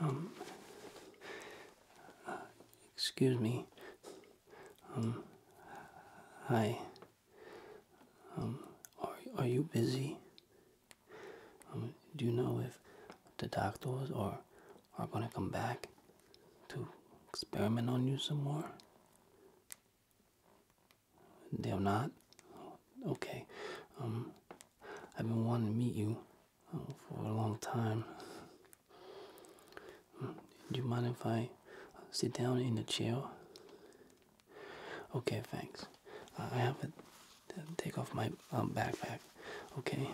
Um, excuse me. Um, hi. Um, are, are you busy? Um, do you know if the doctors are, are gonna come back to experiment on you some more? They're not? okay. Um, I've been wanting to meet you uh, for a long time. Mm, do you mind if I sit down in the chair? Okay, thanks. I have to take off my uh, backpack. Okay.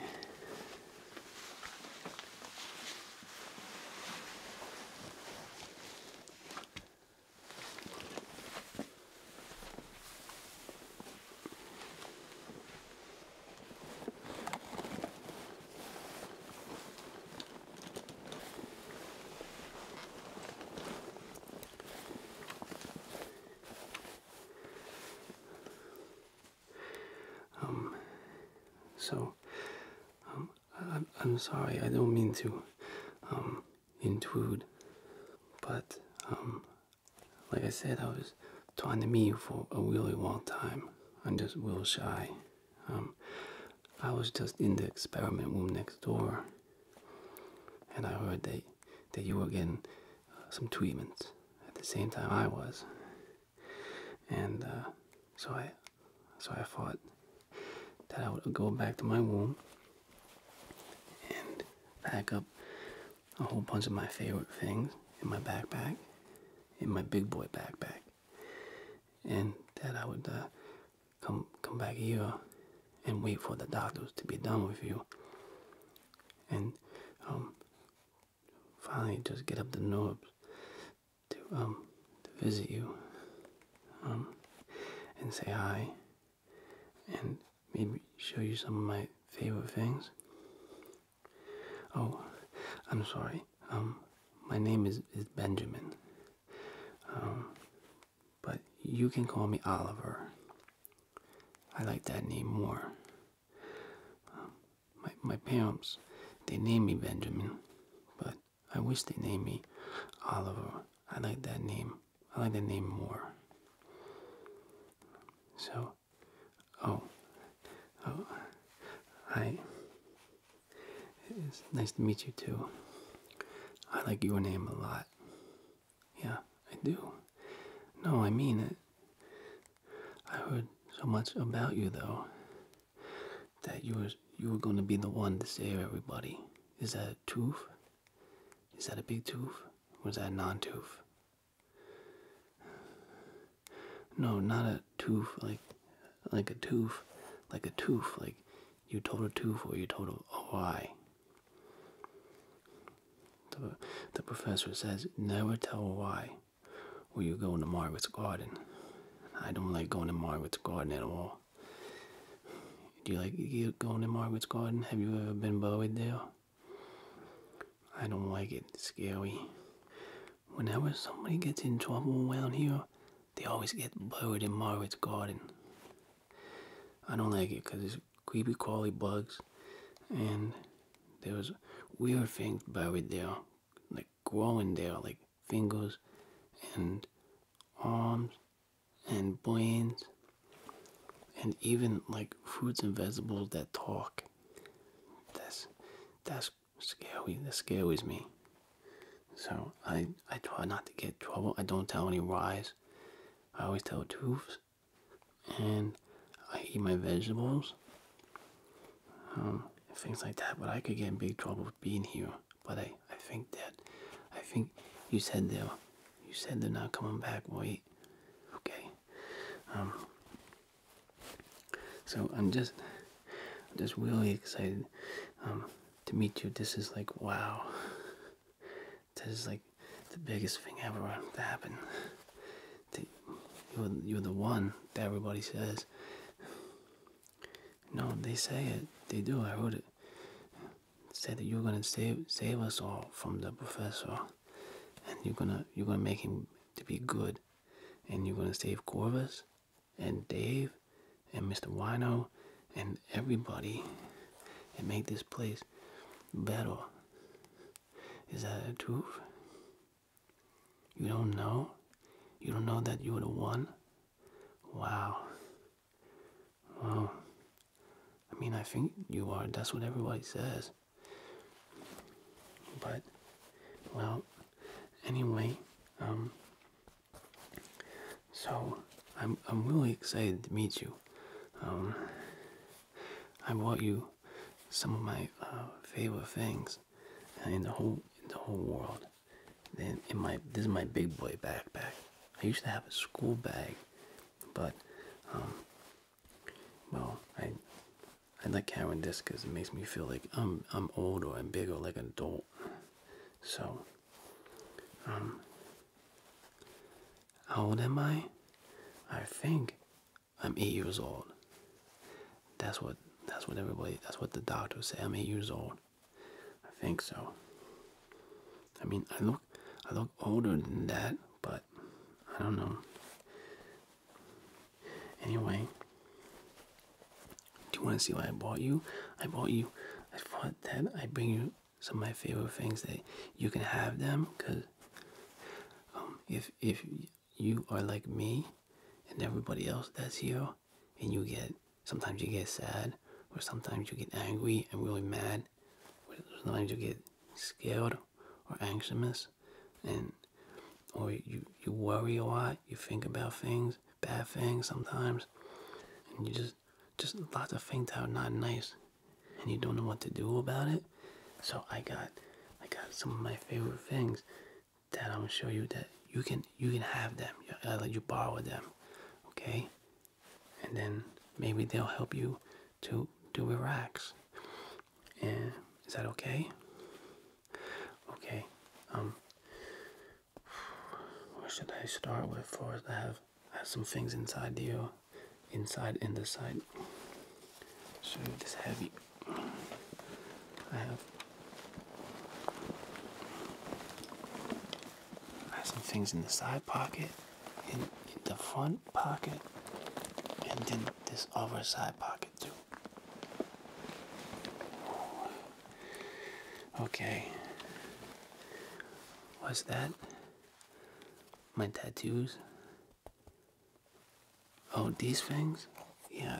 Um, so, um, I, am sorry, I don't mean to, um, intuit. But um, like I said, I was trying to me for a really long time. I'm just real shy. Um, I was just in the experiment room next door, and I heard that that you were getting uh, some treatments at the same time I was, and uh, so I so I fought that I would go back to my womb and pack up a whole bunch of my favorite things in my backpack, in my big boy backpack, and that I would uh, come come back here and wait for the doctors to be done with you, and um, finally just get up the nerve to um, to visit you, um, and say hi and maybe show you some of my favorite things. Oh, I'm sorry. Um, my name is is Benjamin. Um, but you can call me Oliver. I like that name more. Um, my my parents, they name me Benjamin, but I wish they named me Oliver. I like that name I like the name more. So, oh, oh, hi. It's nice to meet you too. I like your name a lot. Yeah, I do. No, I mean it. I heard so much about you though that you were you were going to be the one to save everybody. Is that true? Is that a big tooth? Or is that a non tooth? No, not a tooth like like a tooth. Like a tooth, like you told a tooth or you told a, why. The, professor says never tell a why, when you go to Margaret's garden. I don't like going to Margaret's garden at all. Do you like going to Margaret's Garden? Have you ever been buried there? I don't like it. scary. Whenever somebody gets in trouble around here, they always get buried in Margaret's Garden. I don't like it because it's creepy crawly bugs and there was weird things buried there, like growing there, like fingers and arms and brains and even like fruits and vegetables that talk. That's that's scary. That scares me. So I I try not to get trouble. I don't tell any lies. I always tell truths. And I eat my vegetables. Um, things like that. But I could get in big trouble being here. But I, I think that I think you said there you said they're not coming back. Wait. Okay. Um. So I'm just, just really excited um, to meet you. This is like wow. This is like the biggest thing ever to happen. You're, you're the one that everybody says. No, they say it. They do. I heard it said you're gonna save save us all from the professor, and you're gonna you're gonna make him to be good, and you're gonna save Corvus, and Dave, and Mr. Wino, and everybody, and make this place better. Is that a truth? You don't know? You don't know that you're the one? Wow. Wow. I mean, I think you are. That's what everybody says. But, well, anyway, um, so I'm I'm really excited to meet you. Um, I brought you some of my uh, favorite things in the whole in the whole world. In, in my this is my big boy backpack. I used to have a school bag but, um, well, I I like having this because it makes me feel like I'm I'm old or I'm big or like an adult. So, um, how old am I? I think I'm eight years old. That's what that's what everybody that's what the doctor said. I'm eight years old. I think so. I mean, I look, I look older than that, but I don't know. Anyway, do you want to see why I bought you? I bought you. I thought that I bring you some of my favorite things that you can have them, cause um, if if you are like me and everybody else that's here, and you get sometimes you get sad or sometimes you get angry and really mad and you get scared or anxious and or you you worry a lot, you think about things, bad things sometimes, and you just just lots of things that are not nice and you don't know what to do about it. So I got I got some of my favorite things that I'm gonna show you that you can you can have them. I let uh, you borrow them. Okay? and then maybe they'll help you to do Iraq's. And is that okay? Okay. Um. Where should I start with? First, I have I have some things inside you, inside and the side. So it is heavy. I have I have some things in the side pocket, in, the front pocket, and then this other side pocket too. Okay. What's that? My tattoos? Oh, these things? Yeah.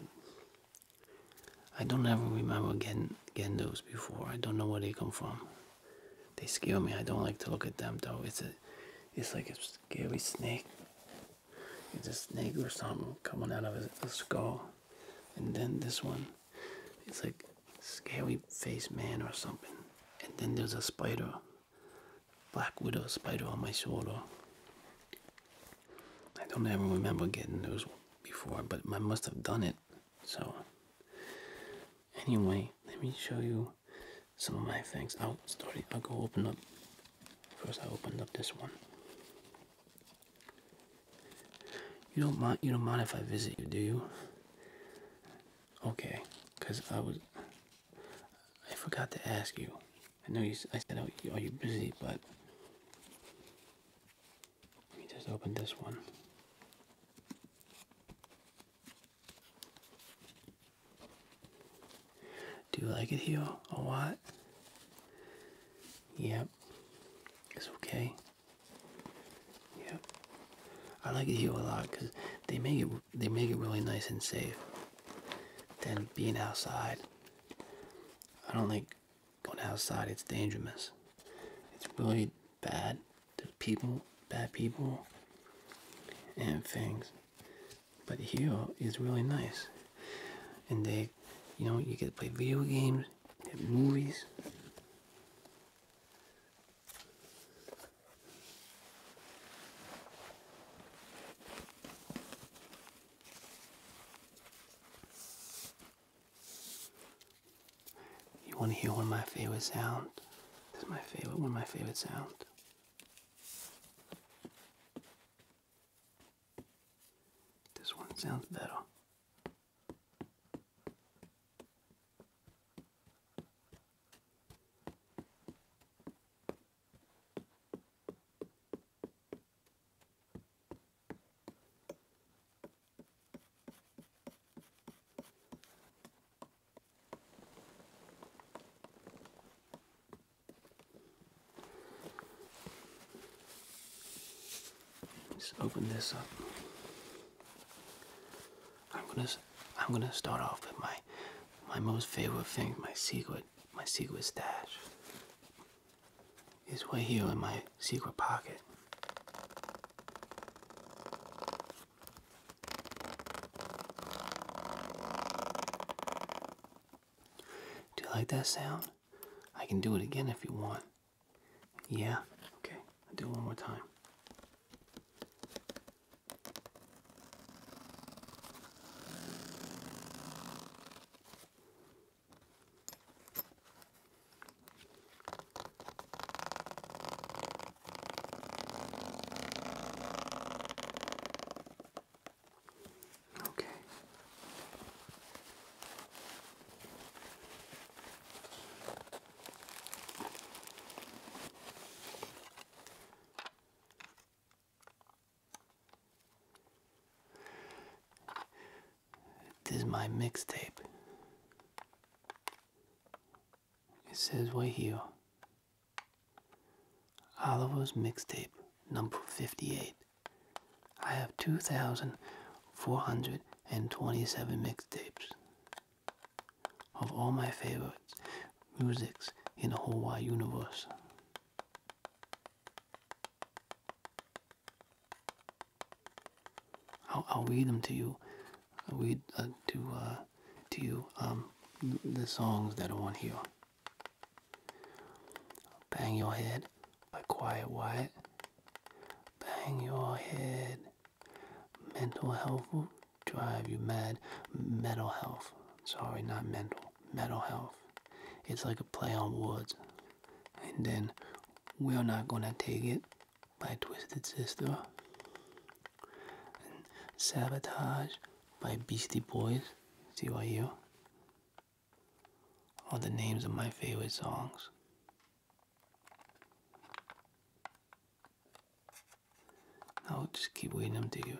I don't ever remember getting getting those before. I don't know where they come from. They scare me. I don't like to look at them though. It's a, it's like a scary snake. It's a snake or something coming out of a, skull. And then this one, it's like scary face man or something. And then there's a spider, black widow spider on my shoulder. I don't ever remember getting those before, but I must have done it. So Anyway, let me show you some of my things. I'll oh, start. I'll go open up. First, I opened up this one. You don't mind. You don't mind if I visit you, do you? Okay, cause I was. I forgot to ask you. I know you. I said, oh, "Are you busy?" But let me just open this one. Do you like it here a lot? Yep. It's okay. Yep. I like it here a lot because they make it they make it really nice and safe. Then being outside. I don't like going outside. It's dangerous. It's really bad people, bad people, and things. But Hero is really nice. And they, you know, you get to play video games, movies. You want to hear one of my favorite sounds? This is my favorite, one of my favorite sounds. This one sounds better. Let's open this up. I'm gonna I'm gonna start off with my my most favorite thing, my secret my secret stash. It's right here in my secret pocket. Do you like that sound? I can do it again if you want. Yeah? Okay. I'll do it one more time. Okay. This is my mixtape. It says right here Oliver's Mixtape, number 58. I have 2,427 mixtapes of all my favorites, musics in the whole wide universe. I'll, read them to you. We will read uh, to uh, to um, the songs that are on here. Bang Your Head by Quiet Wyatt. Bang Your Head. Mental health will drive you mad. Mental health. Sorry, not mental. Mental health. It's like a play on words. And then We're Not Gonna Take It by Twisted Sister. Sabotage by Beastie Boys. CYU. All the names of my favorite songs. I'll just keep reading them to you.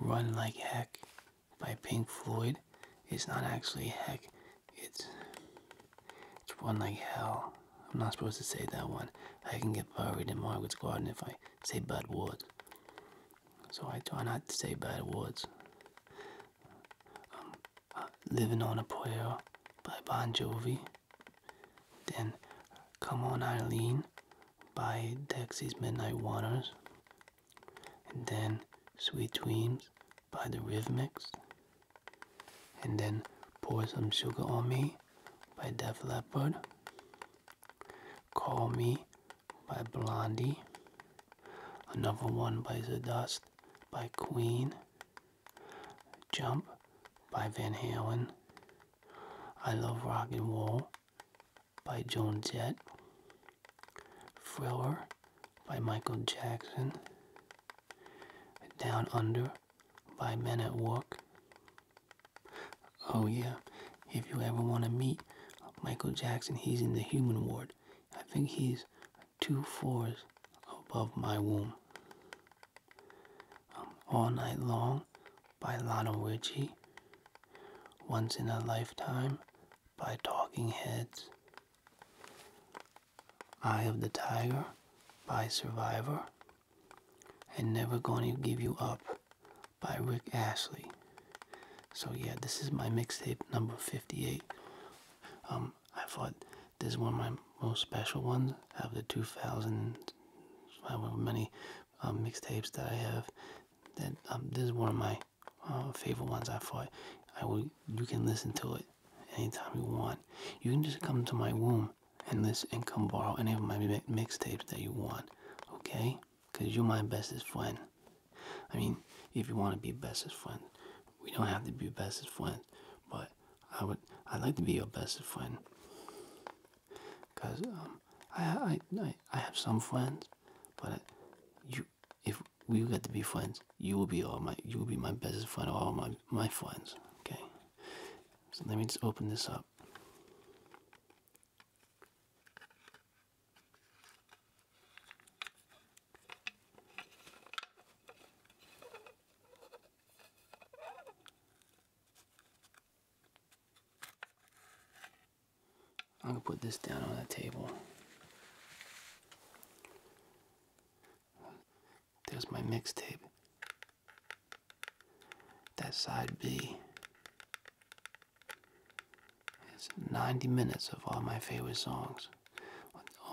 Run Like Heck by Pink Floyd. It's not actually heck, it's it's one like hell. I'm not supposed to say that one. I can get buried in Margaret's garden if I say bad words. So I try not to say bad words. Um, uh, living on a Prayer by Bon Jovi. Then Come On Eileen by Dexy's Midnight Waters. And then Sweet Dreams by The Rhythmics and then Pour Some Sugar on Me by Def Leppard, Call Me by Blondie, another one by The Dust by Queen, Jump by Van Halen, I Love Rock and Roll by Joan Jett, Thriller by Michael Jackson, down Under by Men at Work. Oh, yeah, if you ever want to meet Michael Jackson, he's in the human ward. I think he's two floors above my womb. Um, All Night Long by Lana Ritchie. Once in a Lifetime by Talking Heads. Eye of the Tiger by Survivor and Never Gonna Give You Up by Rick Ashley. So yeah, this is my mixtape number 58. Um, I thought this is one of my most special ones out of the 2000, however many um, mixtapes that I have. That um, this is one of my uh, favorite ones. I thought I will. You can listen to it anytime you want. You can just come to my womb endless income borrow any of my mixtapes that you want okay because you're my bestest friend i mean if you want to be bestest friend we don't have to be bestest friends but i would i'd like to be your bestest friend because um, I, I i have some friends but you if we got to be friends you will be all my you will be my bestest friend of all my my friends okay so let me just open this up. I'm gonna put this down on the table. There's my mixtape. That side B is 90 minutes of all my favorite songs.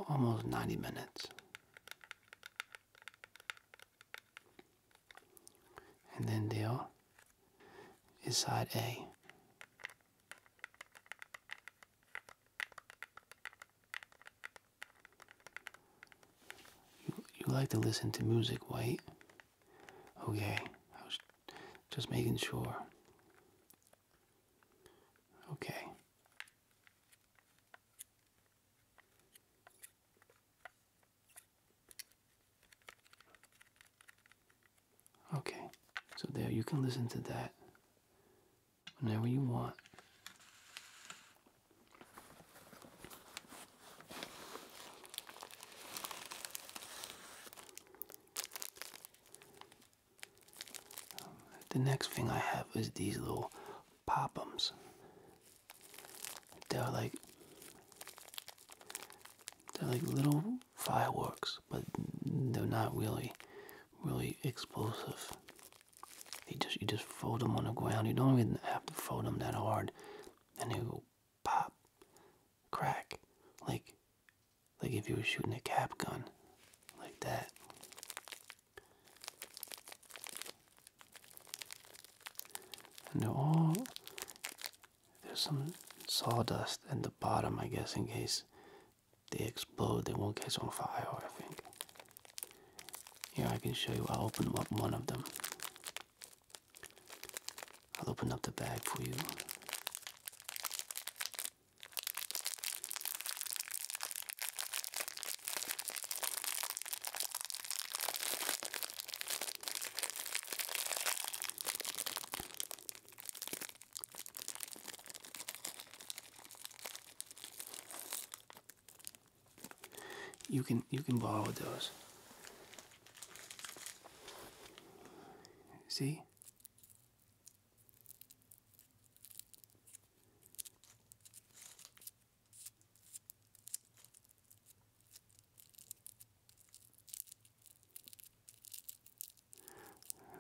Almost 90 minutes. And then there is side A. You, you like to listen to music, White? Okay, I was just making sure. Okay. Okay, so there you can listen to that whenever you want. Um, the next thing I have is these little popums. They're like they're like little fireworks, but they're not really, really explosive. You just you just fold them on the ground. You don't even have to fold them that hard, and they will pop, crack, like like if you were shooting a cap gun, like that. And there's some sawdust in the bottom, I guess, in case they explode, they won't catch on fire. I think. Here I can show you. I'll open up one of them. I'll open up the bag for you. You can you can borrow those. See?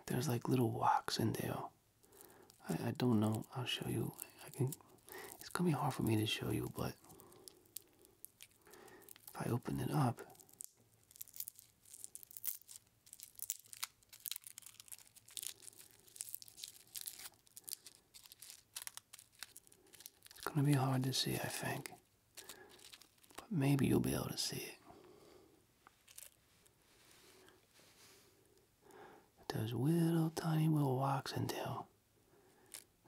There's like little rocks in there. I, I don't know. I'll show you. I can it's gonna be hard for me to show you, but if I open it up, it's gonna be hard to see, I think. But maybe you'll be able to see it. Those little tiny little walks in there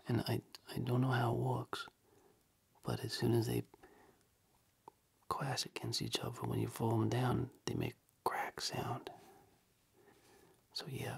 and I I don't know how it works, but as soon as they clash against each other, when you fold them down, they make crack sound. So yeah.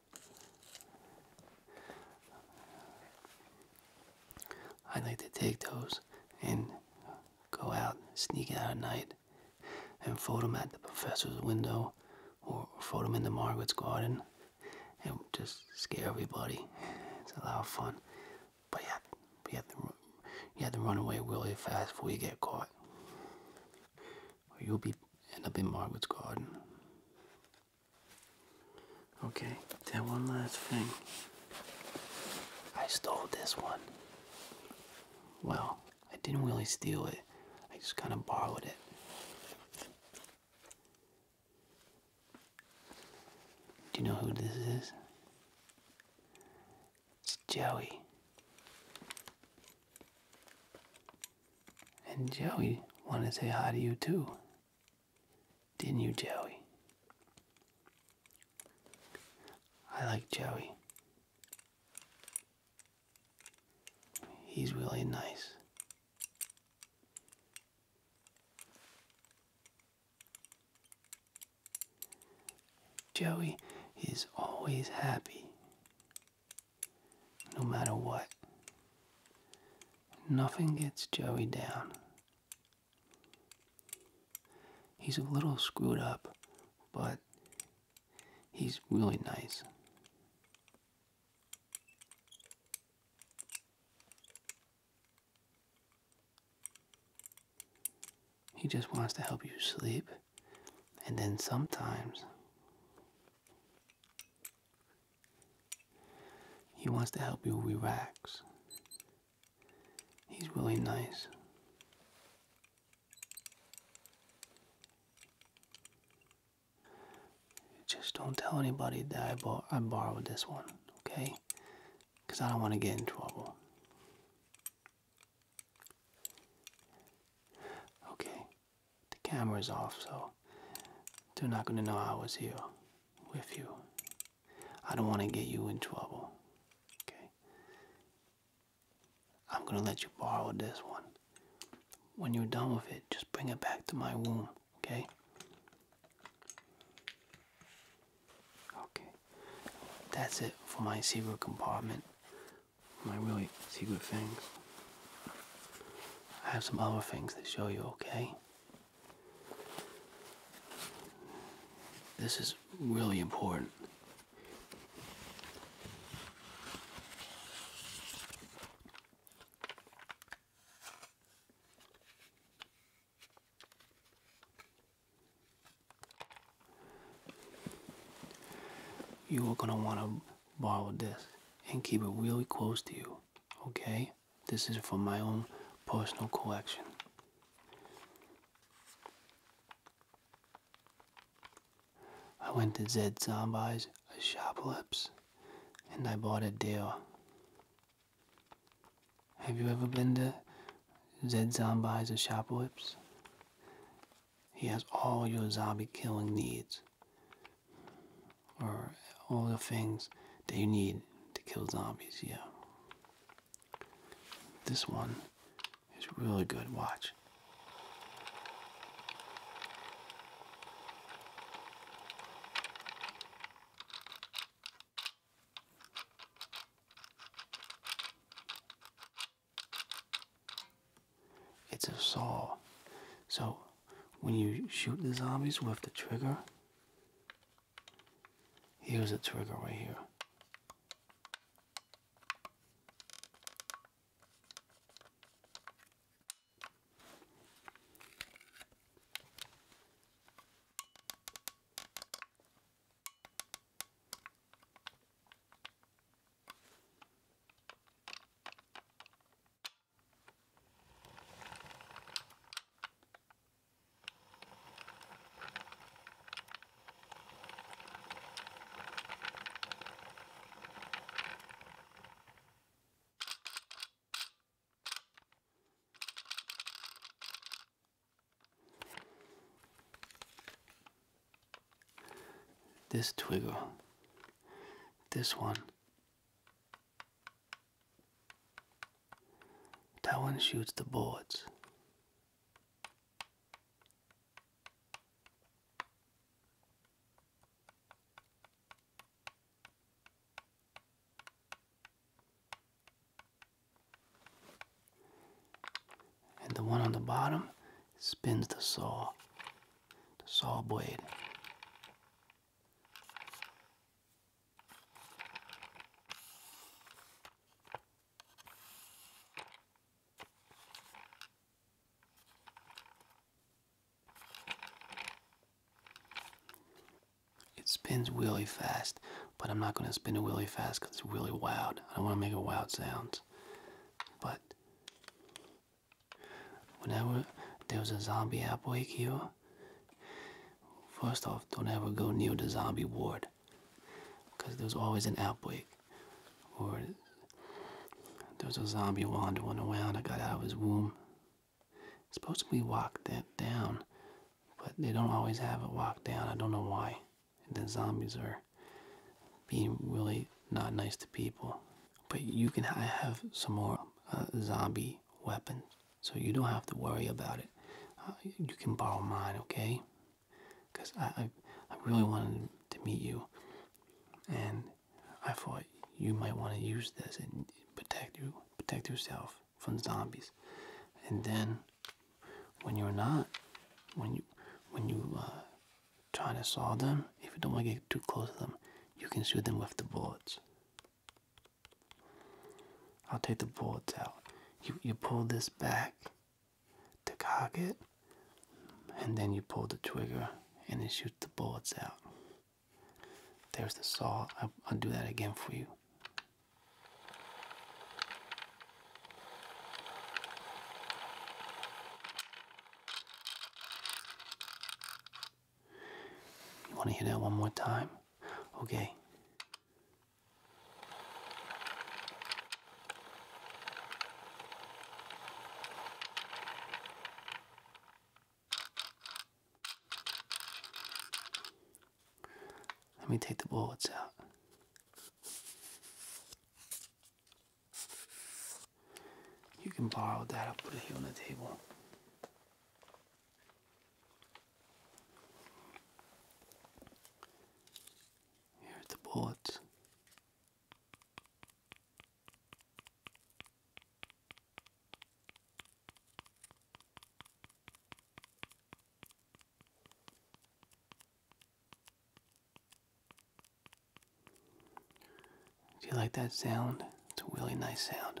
I'd like to take those and go out, sneak out at night, and fold them at the professor's window or fold them in the Margaret's garden and just scare everybody. It's a lot of fun. But you you have to run away really fast before you get caught. Or you'll be end up in Margaret's garden. Okay, then one last thing. I stole this one. Well, I didn't really steal it. I just kind of borrowed it. Do you know who this is? It's Joey. And Joey wanted to say hi to you too. Didn't you, Joey? I like Joey. He's really nice. Joey is always happy no matter what, nothing gets Joey down. He's a little screwed up, but he's really nice. He just wants to help you sleep, and then sometimes he wants to help you relax. He's really nice. Just don't tell anybody that I, bor I borrowed this one, okay? Because I don't want to get in trouble. Okay, the camera's off, so they're not gonna know I was here with you. I don't want to get you in trouble. Okay. I'm gonna let you borrow this one. When you're done with it, just bring it back to my room, okay? Okay. That's it for my secret compartment. My really secret things. I have some other things to show you, okay? This is really important. You are going to want to borrow this and keep it really close to you okay? This is for my own personal collection. I went to Zed Zombies, a shoplips, and I bought a deal. Have you ever been to Zed Zombies, a shoplips? He has all your zombie killing needs or all the things that you need to kill zombies, yeah. This one is really good, watch. It's a saw, so when you shoot the zombies with the trigger. Here's the trigger right here. This twiggle, this one, that one shoots the boards, And the one on the bottom spins the saw, the saw blade. It spins really fast, but I'm not going to spin it really fast because it's really loud. I don't want to make it loud sounds. But Whenever there's a zombie outbreak here, first off, don't ever go near the zombie ward. Because there's always an outbreak. Or there's a zombie wandering around. I got out of his womb. It's supposed to be walked that down, but they don't always have it walked down. I don't know why. And the zombies are being really not nice to people. But you can have some more uh, zombie weapons, so you don't have to worry about it. Uh, you can borrow mine, okay? Because I, I, really wanted to meet you, and I thought you might want to use this and protect you, protect yourself from zombies. And then, when you're not, when you, when you uh, trying to saw them, if you don't want to get too close to them, you can shoot them with the bullets. I'll take the bullets out. You you pull this back to cock it, and then you pull the trigger and it shoots the bullets out. There's the saw. I'll, I'll do that again for you. You want to hear that one more time? Okay. Let me take the bullets out. You can borrow that. I'll put it here on the table. Here are the boards. Do you like that sound? It's a really nice sound.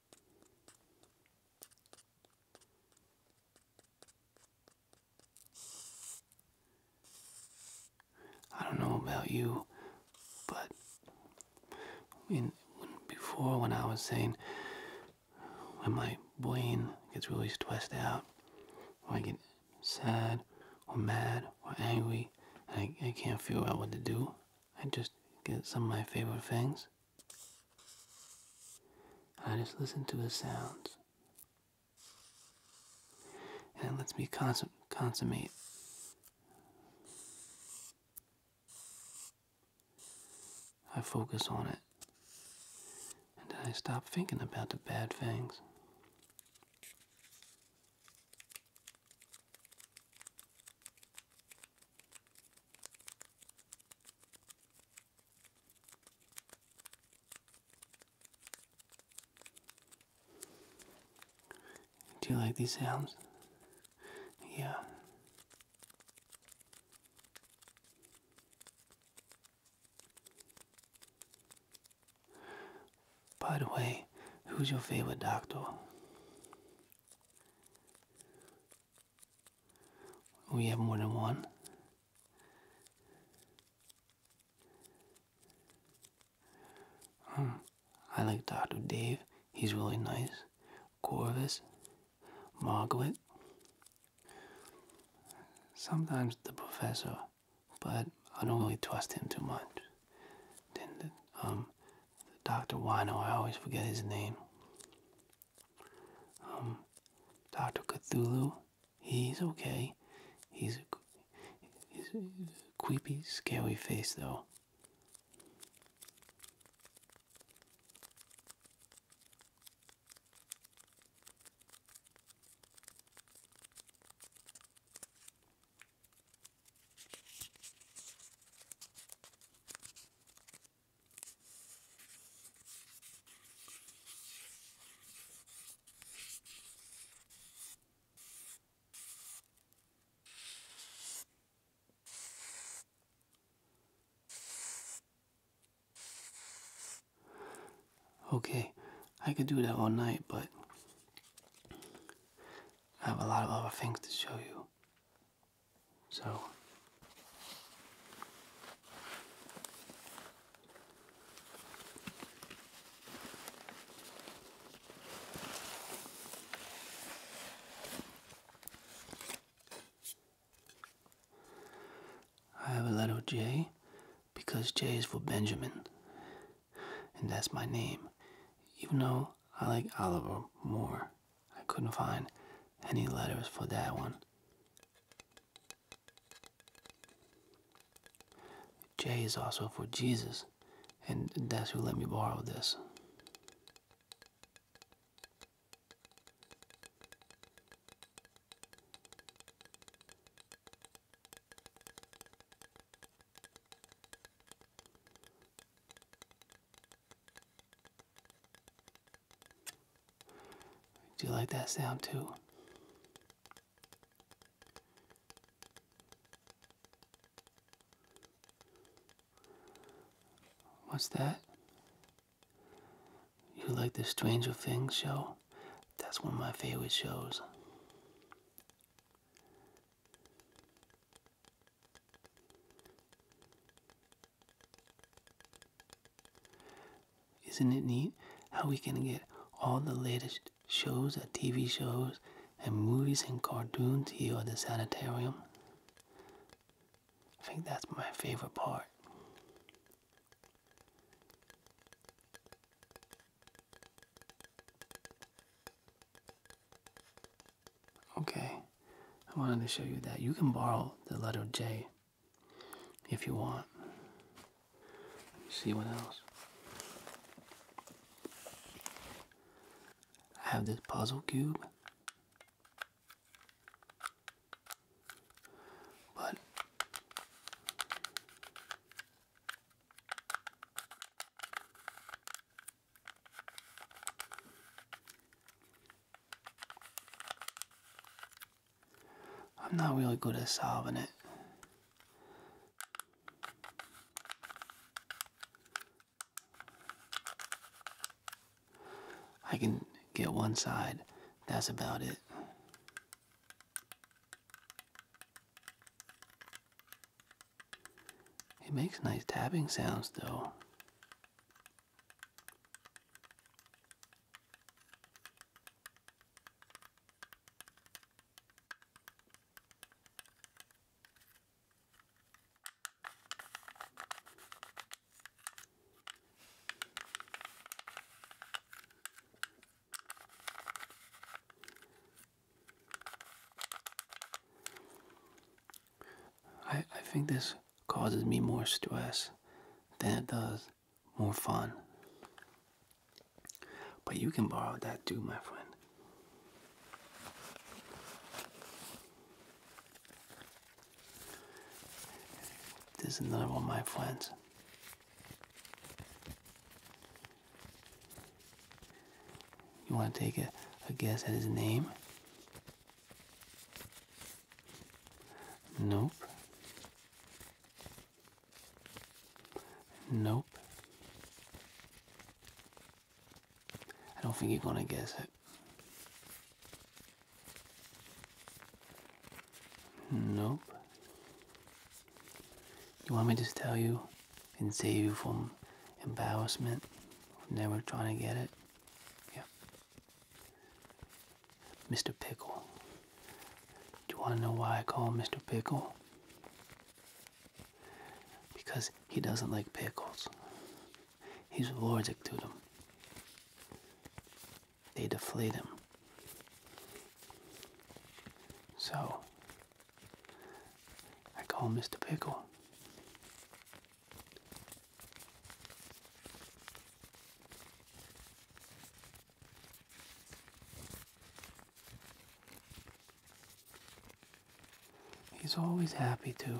I don't know about you, but in, before when I was saying when my brain gets really stressed out, when I get sad or mad or angry, I, I can't figure out what to do, I just get some of my favorite things I just listen to the sounds. And it lets me consum consummate I focus on it. And then I stop thinking about the bad things. Do you like these sounds? Yeah. By the way, who's your favorite doctor? We have more than one. Hmm, I like Dr. Dave. He's really nice. Corvus. Margaret. Sometimes the professor, but I don't really trust him too much. Then, the, um, the Dr. Wino, I always forget his name. Um, Doctor Cthulhu, he's okay. He's a, he's a creepy, scary face though. Okay, I could do that all night, but I have a lot of other things to show you. So I have a letter J because J is for Benjamin, and that's my name, even though I like Oliver more. I couldn't find any letters for that one. J is also for Jesus, and that's who let me borrow this. Do you like that sound too? What's that? You like the Stranger Things show? That's one of my favorite shows. Isn't it neat how we can get all the latest shows and uh, TV shows and movies and cartoons here at the sanitarium? I think that's my favorite part. Okay, I wanted to show you that you can borrow the letter J if you want. See what else? I have this puzzle cube, but I'm not really good at solving it. I can get one side, that's about it. It makes nice tapping sounds though. I I think this causes me more stress than it does more fun. But you can borrow that too, my friend. This is another one my friends. You want to take a, a guess at his name? Nope. Nope. I don't think you're going to guess it. Nope. You want me to just tell you and save you from embarrassment of never trying to get it? Yeah. Mr. Pickle. Do you want to know why I call him Mr. Pickle? Because he doesn't like pickles. He's allergic to them. They deflate him. So, I call him Mr. Pickle. He's always happy to.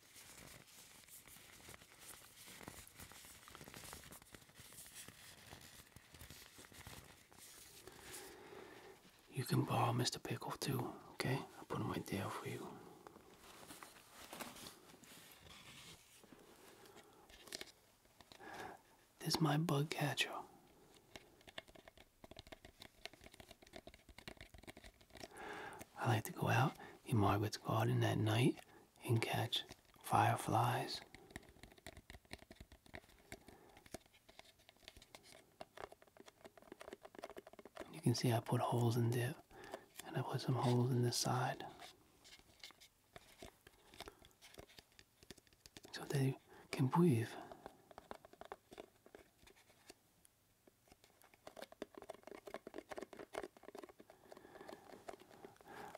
You can borrow Mr. Pickle too, okay? I'll put him right there for you. This is my bug catcher. I like to go out in Margaret's garden at night and catch fireflies. You can see I put holes in dip and I put some holes in this side. So they can breathe.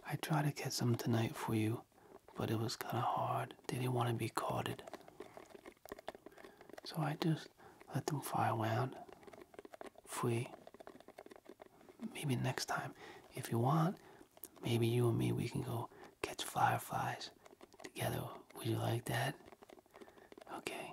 I tried to get some tonight for you, but it was kind of hard. They didn't want to be caughted, So I just let them fly around free. Maybe next time, if you want, maybe you and me, we can go catch fireflies together. Would you like that? Okay.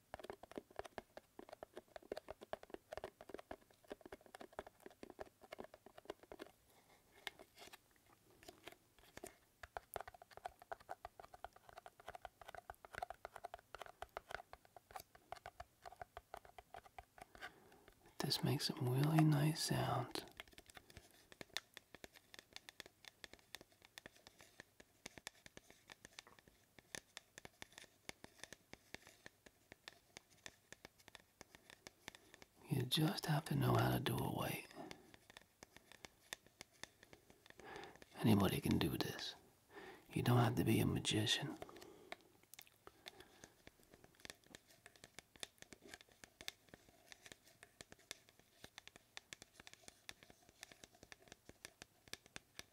This makes some really nice sounds. You just have to know how to do it right. Anybody can do this. You don't have to be a magician.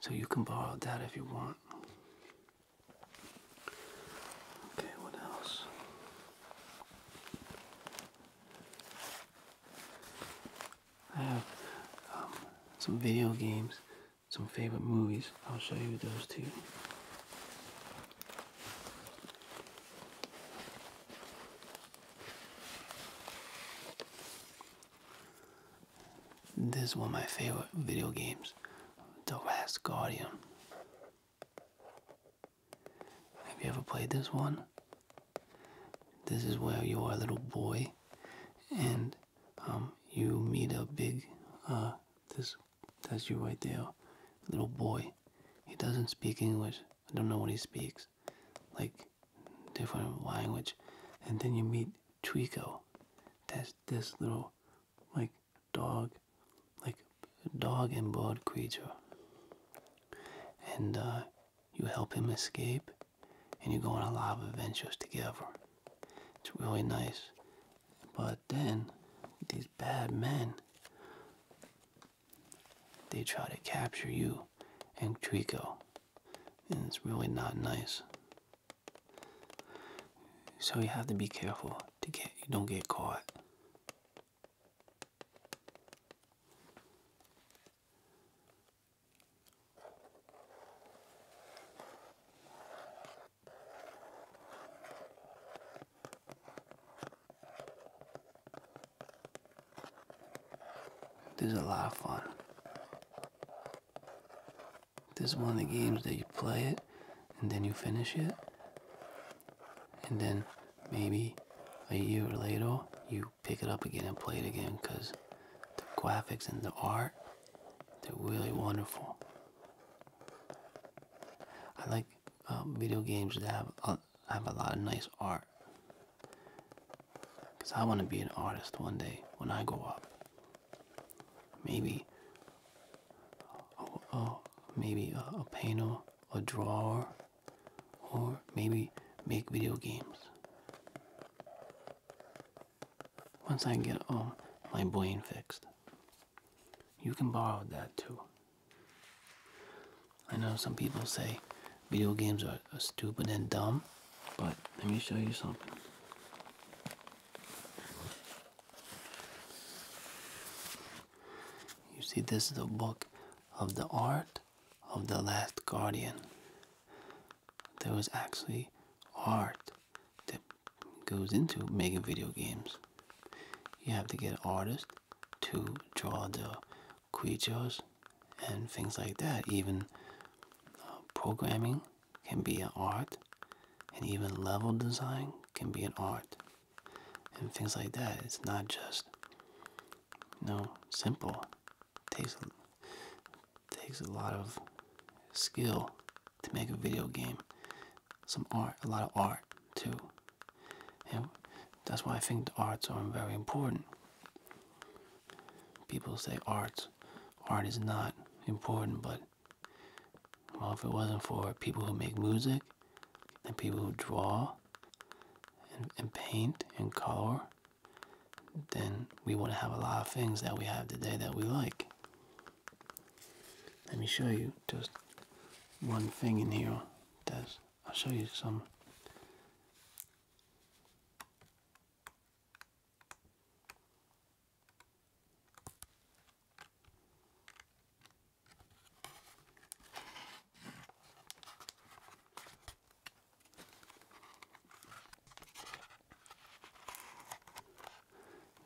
So you can borrow that if you want. Okay, what else? I have um, some video games, some favorite movies. I'll show you those too. This is one of my favorite video games. The Last Guardian. Have you ever played this one? This is where you are a little boy and um, you meet a big, uh, this, that's you right there, little boy. He doesn't speak English. I don't know what he speaks. Like, different language. And then you meet Trico. That's this little like dog, like a dog and bird creature. And uh, you help him escape, and you go on a lot of adventures together. It's really nice. But then, these bad men, they try to capture you and Trico. And it's really not nice. So you have to be careful to get you don't get caught. This is a lot of fun. This is one of the games that you play it and then you finish it. And then maybe a year later you pick it up again and play it again because the graphics and the art, they're really wonderful. I like um, video games that have have a lot of nice art. Because I want to be an artist one day when I grow up. Maybe or, maybe a, a painter, a drawer, or maybe make video games. Once I get um, my brain fixed, you can borrow that too. I know some people say video games are stupid and dumb, but let me show you something. You see, this is the book of the art of the last guardian. There was actually art that goes into making video games. You have to get artists to draw the creatures and things like that. Even uh, programming can be an art, and even level design can be an art and things like that. It's not just no simple. takes takes a lot of skill to make a video game. Some art, a lot of art too. And that's why I think the arts are very important. People say arts, art is not important, but well, if it wasn't for people who make music and people who draw and, and paint and color, then we wouldn't have a lot of things that we have today that we like. Let me show you just one thing in here. That's I'll show you some.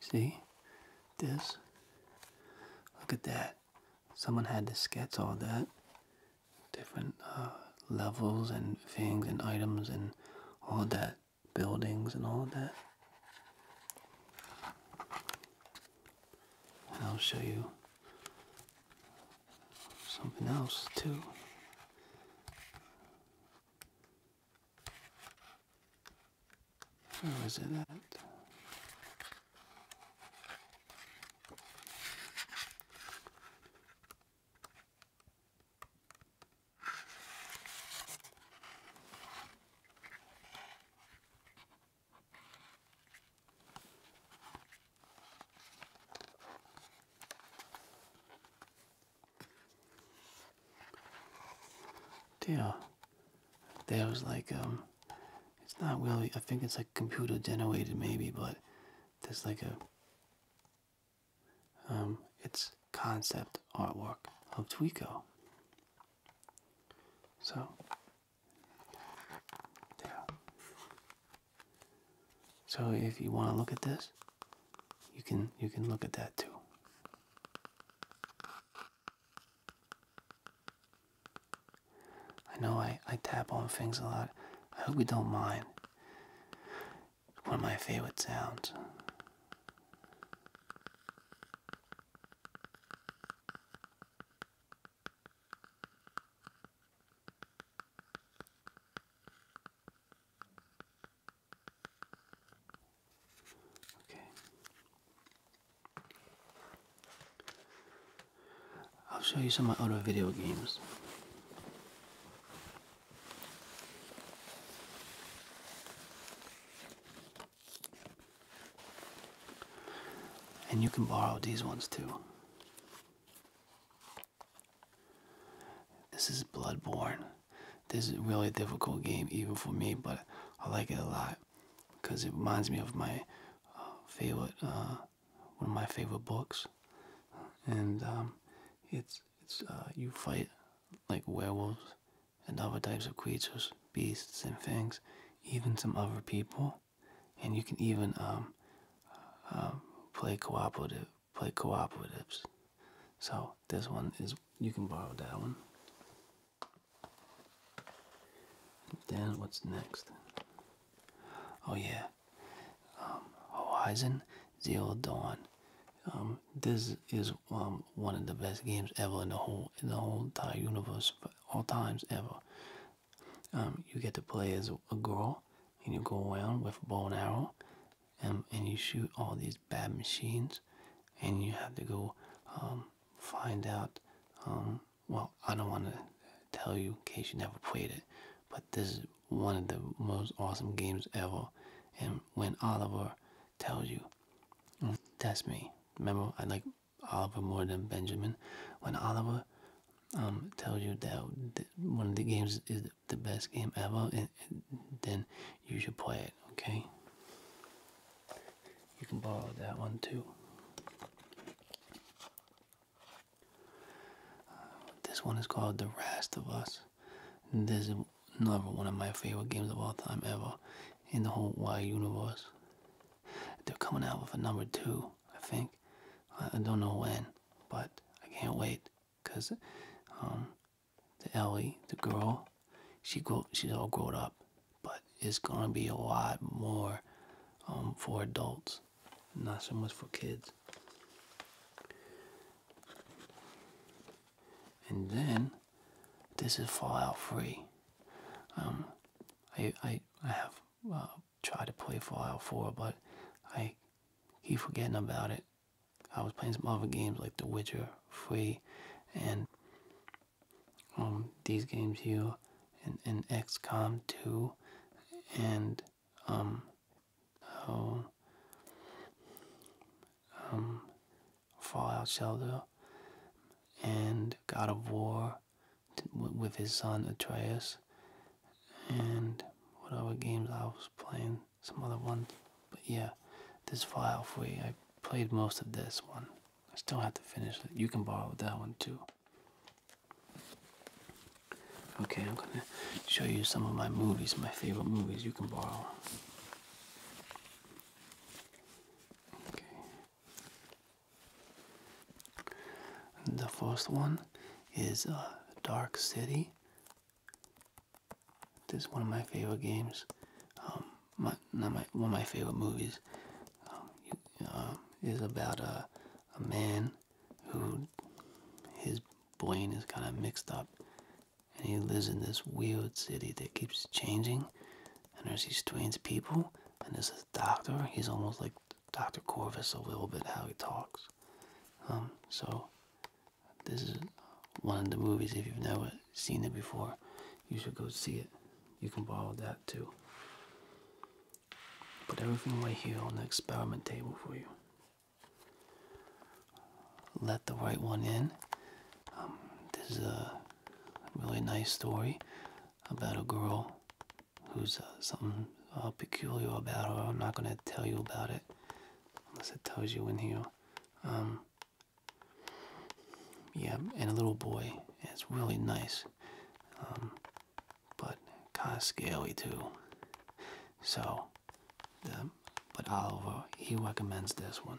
See? This? Look at that. Someone had to sketch all that. Different uh, levels and things and items and all that. Buildings and all that. I'll show you something else too. Where was it at? Deal. There was like um, it's not really. I think it's like computer generated maybe, but there's like a um, it's concept artwork of Tweeko. So there. So if you want to look at this, you can you can look at that too. I know I, I tap on things a lot. I hope you don't mind. one of my favorite sounds. Okay. I'll show you some other video games. And you can borrow these ones too. This is Bloodborne. This is a really difficult game, even for me, but I like it a lot because it reminds me of my uh, favorite, uh, one of my favorite books. And um, it's it's uh, you fight like werewolves and other types of creatures, beasts, and things, even some other people. And you can even um, uh, uh, play cooperative, play cooperatives. So this one is you can borrow that one. Then what's next? Oh yeah, um, Horizon Zero Dawn. Um, this is one of the best games ever in the whole in the whole entire universe for all times ever. Um, you get to play as a girl, and you go around with bow and arrow, and um, and you shoot all these bad machines, and you have to go um, find out. well, I don't want to tell you in case you never played it, but this is one of the most awesome games ever. And when Oliver tells you, that's me. Remember, I like Oliver more than Benjamin. When Oliver um, tells you that one of the games is the best game ever, eh, eh, then you should play it, okay? You can borrow that one too. Uh, this one is called The Last of Us. this is another one of my favorite games of all time ever in the whole wide universe. They're coming out with a number two, I think. I, don't know when, but I can't wait because um, the Ellie, the girl, she grow, she's all grown up, but it's gonna be a lot more um, for adults, not so much for kids. And then this is file Free. Um, I, I, I have uh, tried to play Fallout 4, but I keep forgetting about it. I was playing some other games like The Witcher Free and um, these games here and, and XCOM 2 and um, oh, um, Fallout Shelter, and God of War with his son Atreus, and whatever games I was playing, some other ones, but yeah, this Fallout Free, I played most of this one. I still have to finish it. You can borrow that one too. Okay, I'm gonna show you some of my movies, my favorite movies you can borrow. Okay. The first one is uh, Dark City. This is one of my favorite games. Um, my, not my one of my favorite movies. Um, um, is about a, a man who his brain is kind of mixed up, and he lives in this weird city that keeps changing, and there's these strange people, and there's this doctor. He's almost like Dr. Corvus a little bit how he talks. Um, so this is one of the movies. If you've never seen it before, you should go see it. You can borrow that too. Put everything right here on the experiment table for you. Let the right one in. Um, this is a really nice story about a girl who's uh, something uh, peculiar about her. I'm not gonna tell you about it unless it tells you in here. Um, yeah, and a little boy. It's really nice, um, but kind of scary too. So, um, but Oliver he recommends this one.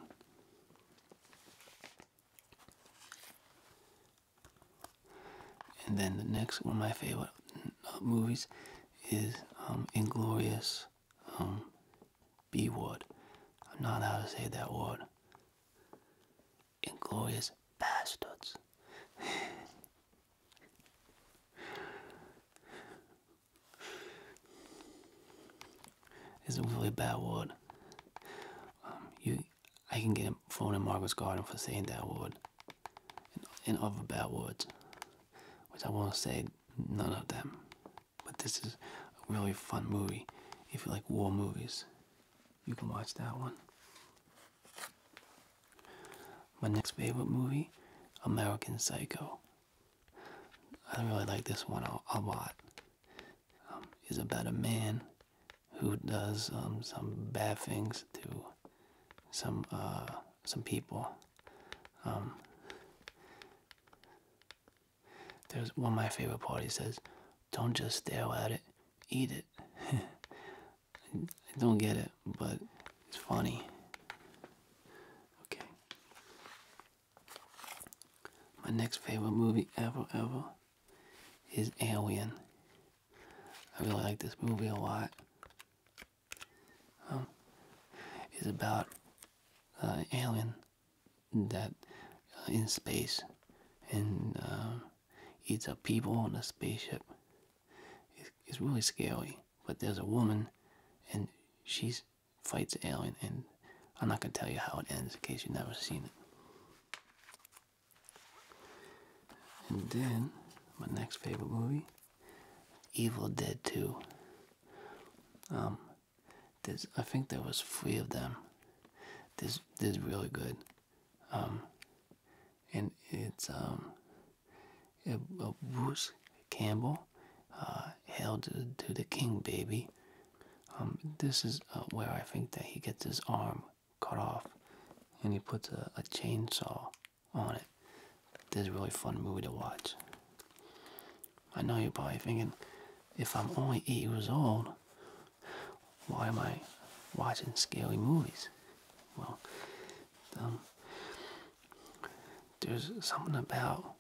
And then the next one of my favorite uh, movies is um, Inglorious um, B Word. I'm not allowed to say that word. Inglorious Bastards. it's a really bad word. Um, you, I can get a phone in Margaret's garden for saying that word and, other bad words, which I won't say none of them. But this is a really fun movie. If you like war movies, you can watch that one. My next favorite movie, American Psycho. I really like this one a lot is um, about a man who does um, some bad things to some uh, some people. Um, there's one of my favorite He says, "Don't just stare at it, eat it." I don't get it, but it's funny. Okay. My next favorite movie ever, ever is Alien. I really like this movie a lot. Um, it's about uh, alien that uh, in space and it's um, a people on a spaceship. It's, it's really scary. But there's a woman, and she fights alien, and I'm not gonna tell you how it ends in case you've never seen it. And then, my next favorite movie, Evil Dead 2. Um, I think there was three of them. This, this is really good. Um, and it's, um, uh, Bruce Campbell, held uh, to, the King, baby. Um, this is uh, where I think that he gets his arm cut off, and he puts a, chainsaw on it. This is a really fun movie to watch. I know you're probably thinking, if I'm only eight years old, why am I watching scary movies? Well, um, there's something about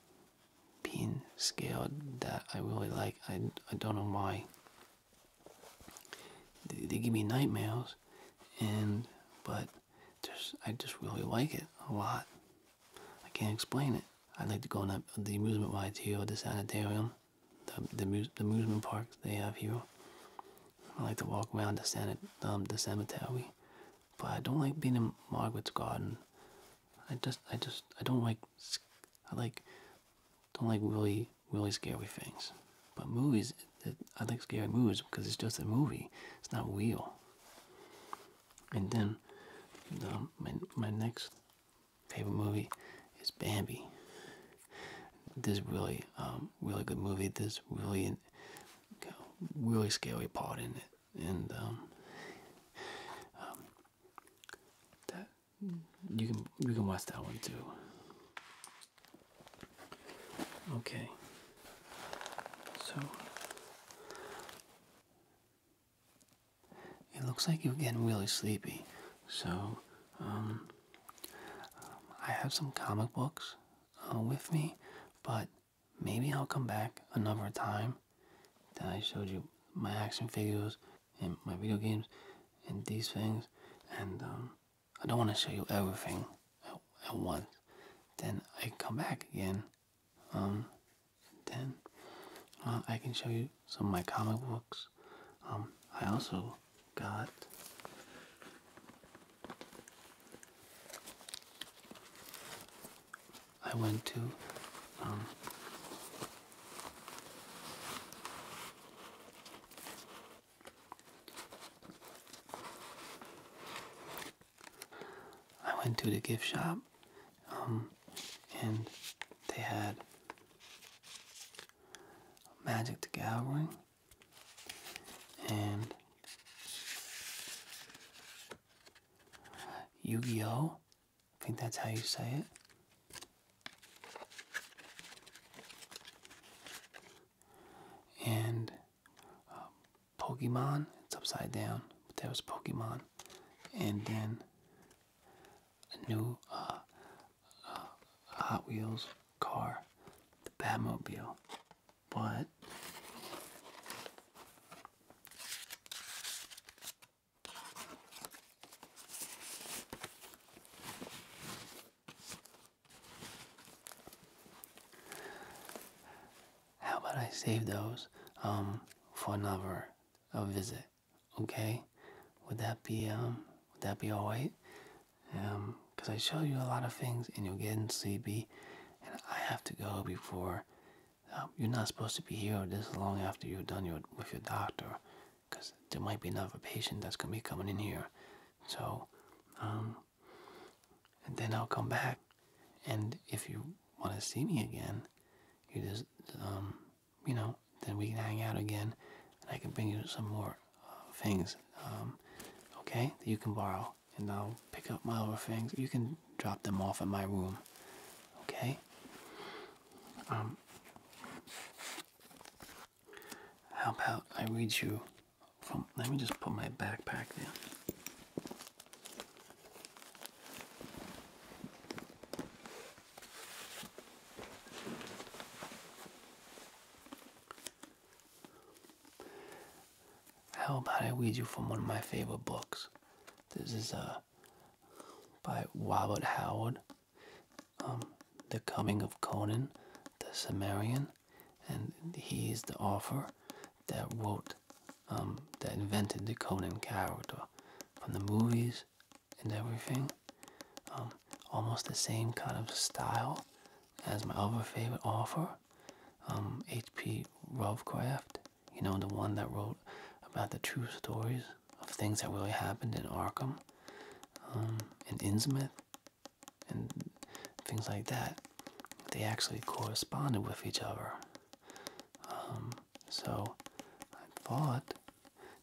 being scared that I really like. I, I don't know why they, give me nightmares, and but I just really like it a lot. I can't explain it. i like to go on the amusement rides here, or the sanitarium, the amusement parks they have here. I like to walk around the sanit um, cemetery, but I don't like being in Margaret's garden. I just I just I don't like I like don't like really, really scary things. But movies, I like scary movies because it's just a movie. It's not real. And then, my next favorite movie is Bambi. This really, um, really good movie. This really, really scary part in it, and um, um, that you can you can watch that one too. Okay. So it looks like you're getting really sleepy. So um, I have some comic books uh, with me, but maybe I'll come back another time. Then I showed you my action figures and my video games and these things and um, I don't want to show you everything at, at once. Then I come back again. Um, then uh, I can show you some of my comic books. Um, I also got I went to I went to the gift shop, um, and they had Magic the Gathering and Yu-Gi-Oh. I think that's how you say it and um, Pokemon. It's upside down, but that was Pokemon. And then a new uh, uh, Hot Wheels car, the Batmobile. But how about I save those um, for another visit? Okay, would that be um, would that be alright? Um, cause I show you a lot of things and you're getting sleepy, and I have to go before. you're not supposed to be here this long after you have done your, with your doctor because there might be another patient that's going to be coming in here. So, um, and then I'll come back. And if you want to see me again, you just, um, you know, then we can hang out again and I can bring you some more uh, things, um, okay, you can borrow. And I'll pick up my other things. You can drop them off at my room, okay? How about I read you from. Let me just put my backpack down. How about I read you from one of my favorite books? This is uh, by Robert Howard. Um, the coming of Conan the Sumerian, and he is the author that wrote, um, that invented the Conan character from the movies and everything. Um, almost the same kind of style as my other favorite author, H.P. Lovecraft. You know, the one that wrote about the true stories of things that really happened in Arkham um, and Innsmouth and things like that. They actually corresponded with each other. Um, so I thought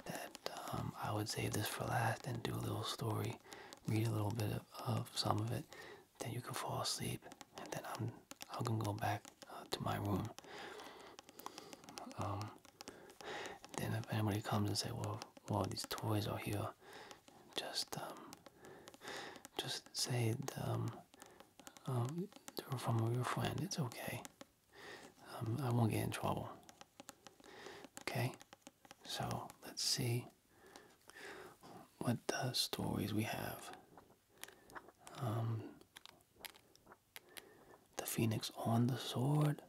that um, I would save this for last and do a little story, read a little bit of, some of it, then you can fall asleep, and then I'm I can go back uh, to my room. Um, then if anybody comes and say, "Well, well, these toys are here," just um, just say um, um they're from your friend. It's okay. Um, I won't get in trouble. Okay. So let's see what uh, stories we have. the phoenix on the sword.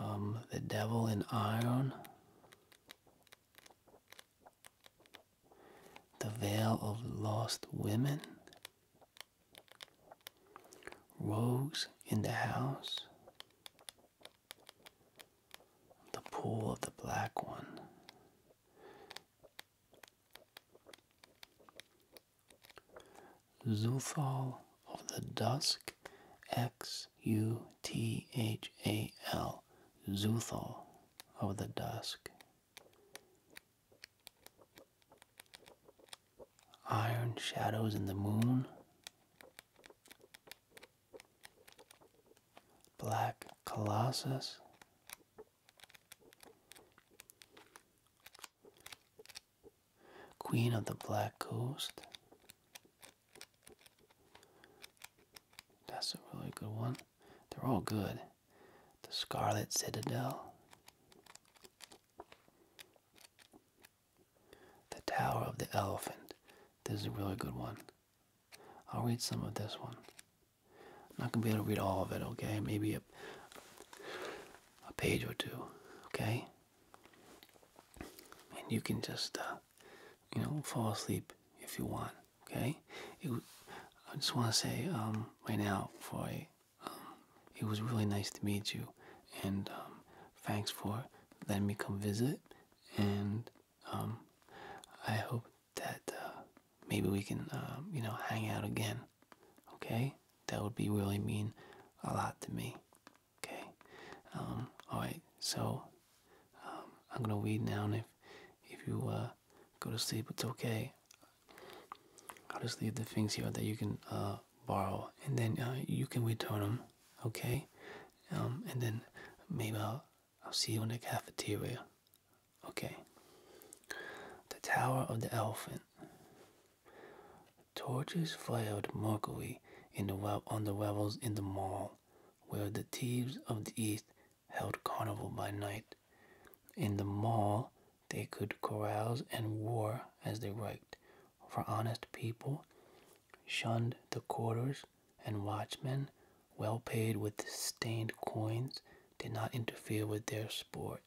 Um, the Devil in Iron, The Veil of Lost Women, Rose in the House, The Pool of the Black One. Zuthal of the Dusk, X U T H A L, Zuthal of the Dusk. Iron Shadows in the Moon, Black Colossus. Queen of the Black Coast. That's a really good one. They're all good. The Scarlet Citadel. The Tower of the Elephant. This is a really good one. I'll read some of this one. I'm not going to be able to read all of it, okay? Maybe a, a page or two, okay? and you can just uh, you know fall asleep if you want. Okay, I just want to say um, right now, Foy, um, it was really nice to meet you, and um, thanks for letting me come visit. And I hope that uh, maybe we can you know hang out again Okay, that would be really mean a lot to me. Okay, um, all right. So um, I'm gonna read now, and if if you uh, go to sleep, it's okay. I'll just leave the things here that you can uh, borrow, and then uh, you can return them. Okay, um, and then maybe I'll, I'll see you in the cafeteria. Okay. The Tower of the Elephant. Torches flared mockery in the on the revels in the mall, where the thieves of the East held carnival by night. In the mall, they could carouse and war as they liked, for honest people shunned the quarters, and watchmen, well paid with stained coins, did not interfere with their sport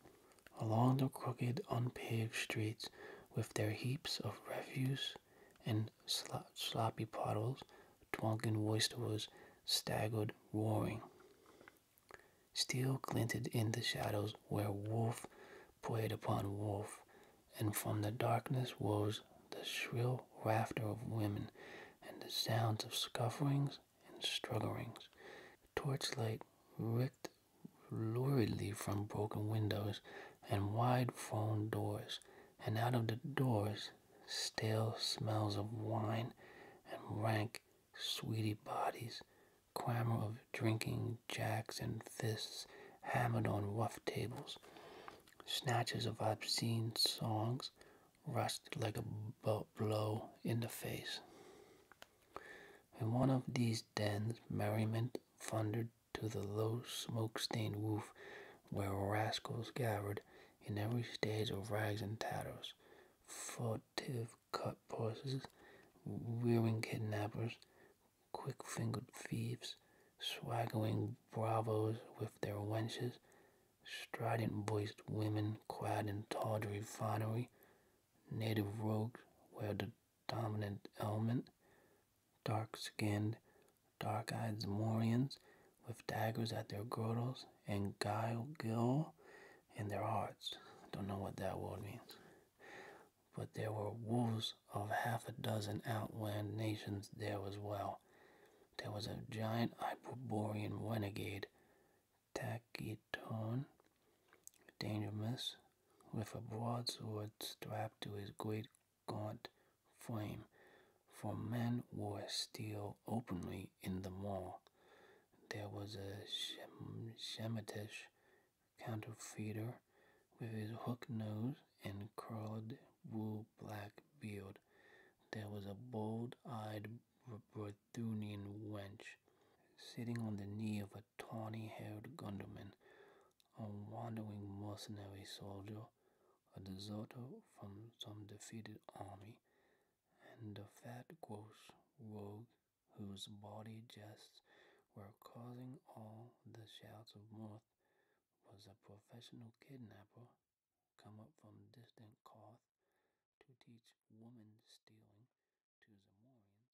along the crooked, unpaved streets with their heaps of refuse and sloppy puddles, drunken roisterers staggered roaring. Steel glinted in the shadows where wolf preyed upon wolf, and from the darkness rose the shrill laughter of women and the sounds of scufflings and strugglings. Torchlight ricked luridly from broken windows and wide phone doors, and out of the doors stale smells of wine and rank sweetie bodies, clamor of drinking jacks and fists hammered on rough tables, snatches of obscene songs rushed like a blow in the face. In one of these dens, merriment thundered to the low, smoke-stained roof where rascals gathered in every stage of rags and tatters, furtive cutpurses, horses, kidnappers, quick-fingered thieves, swaggering bravos with their wenches, strident-voiced women clad in tawdry finery, native rogues where the dominant element, dark skinned, dark eyed Zemorians with daggers at their girdles and guile gill in their hearts. Don't know what that word means. But there were wolves of half a dozen outland nations there as well. There was a giant Hyperborean renegade, Taciturn, Dangerous, with a broadsword strapped to his great gaunt frame, for men wore steel openly in the mall. There was a Shem- Shemitish counterfeiter with his hook nose and curled wool black beard. There was a bold eyed Brethunian wench sitting on the knee of a a tawny haired gunderman, a wandering mercenary soldier, a deserter from some defeated army, and a fat, gross rogue whose bawdy jests were causing all the shouts of mirth was a professional kidnapper come up from distant Koth to teach woman stealing to Zamorians.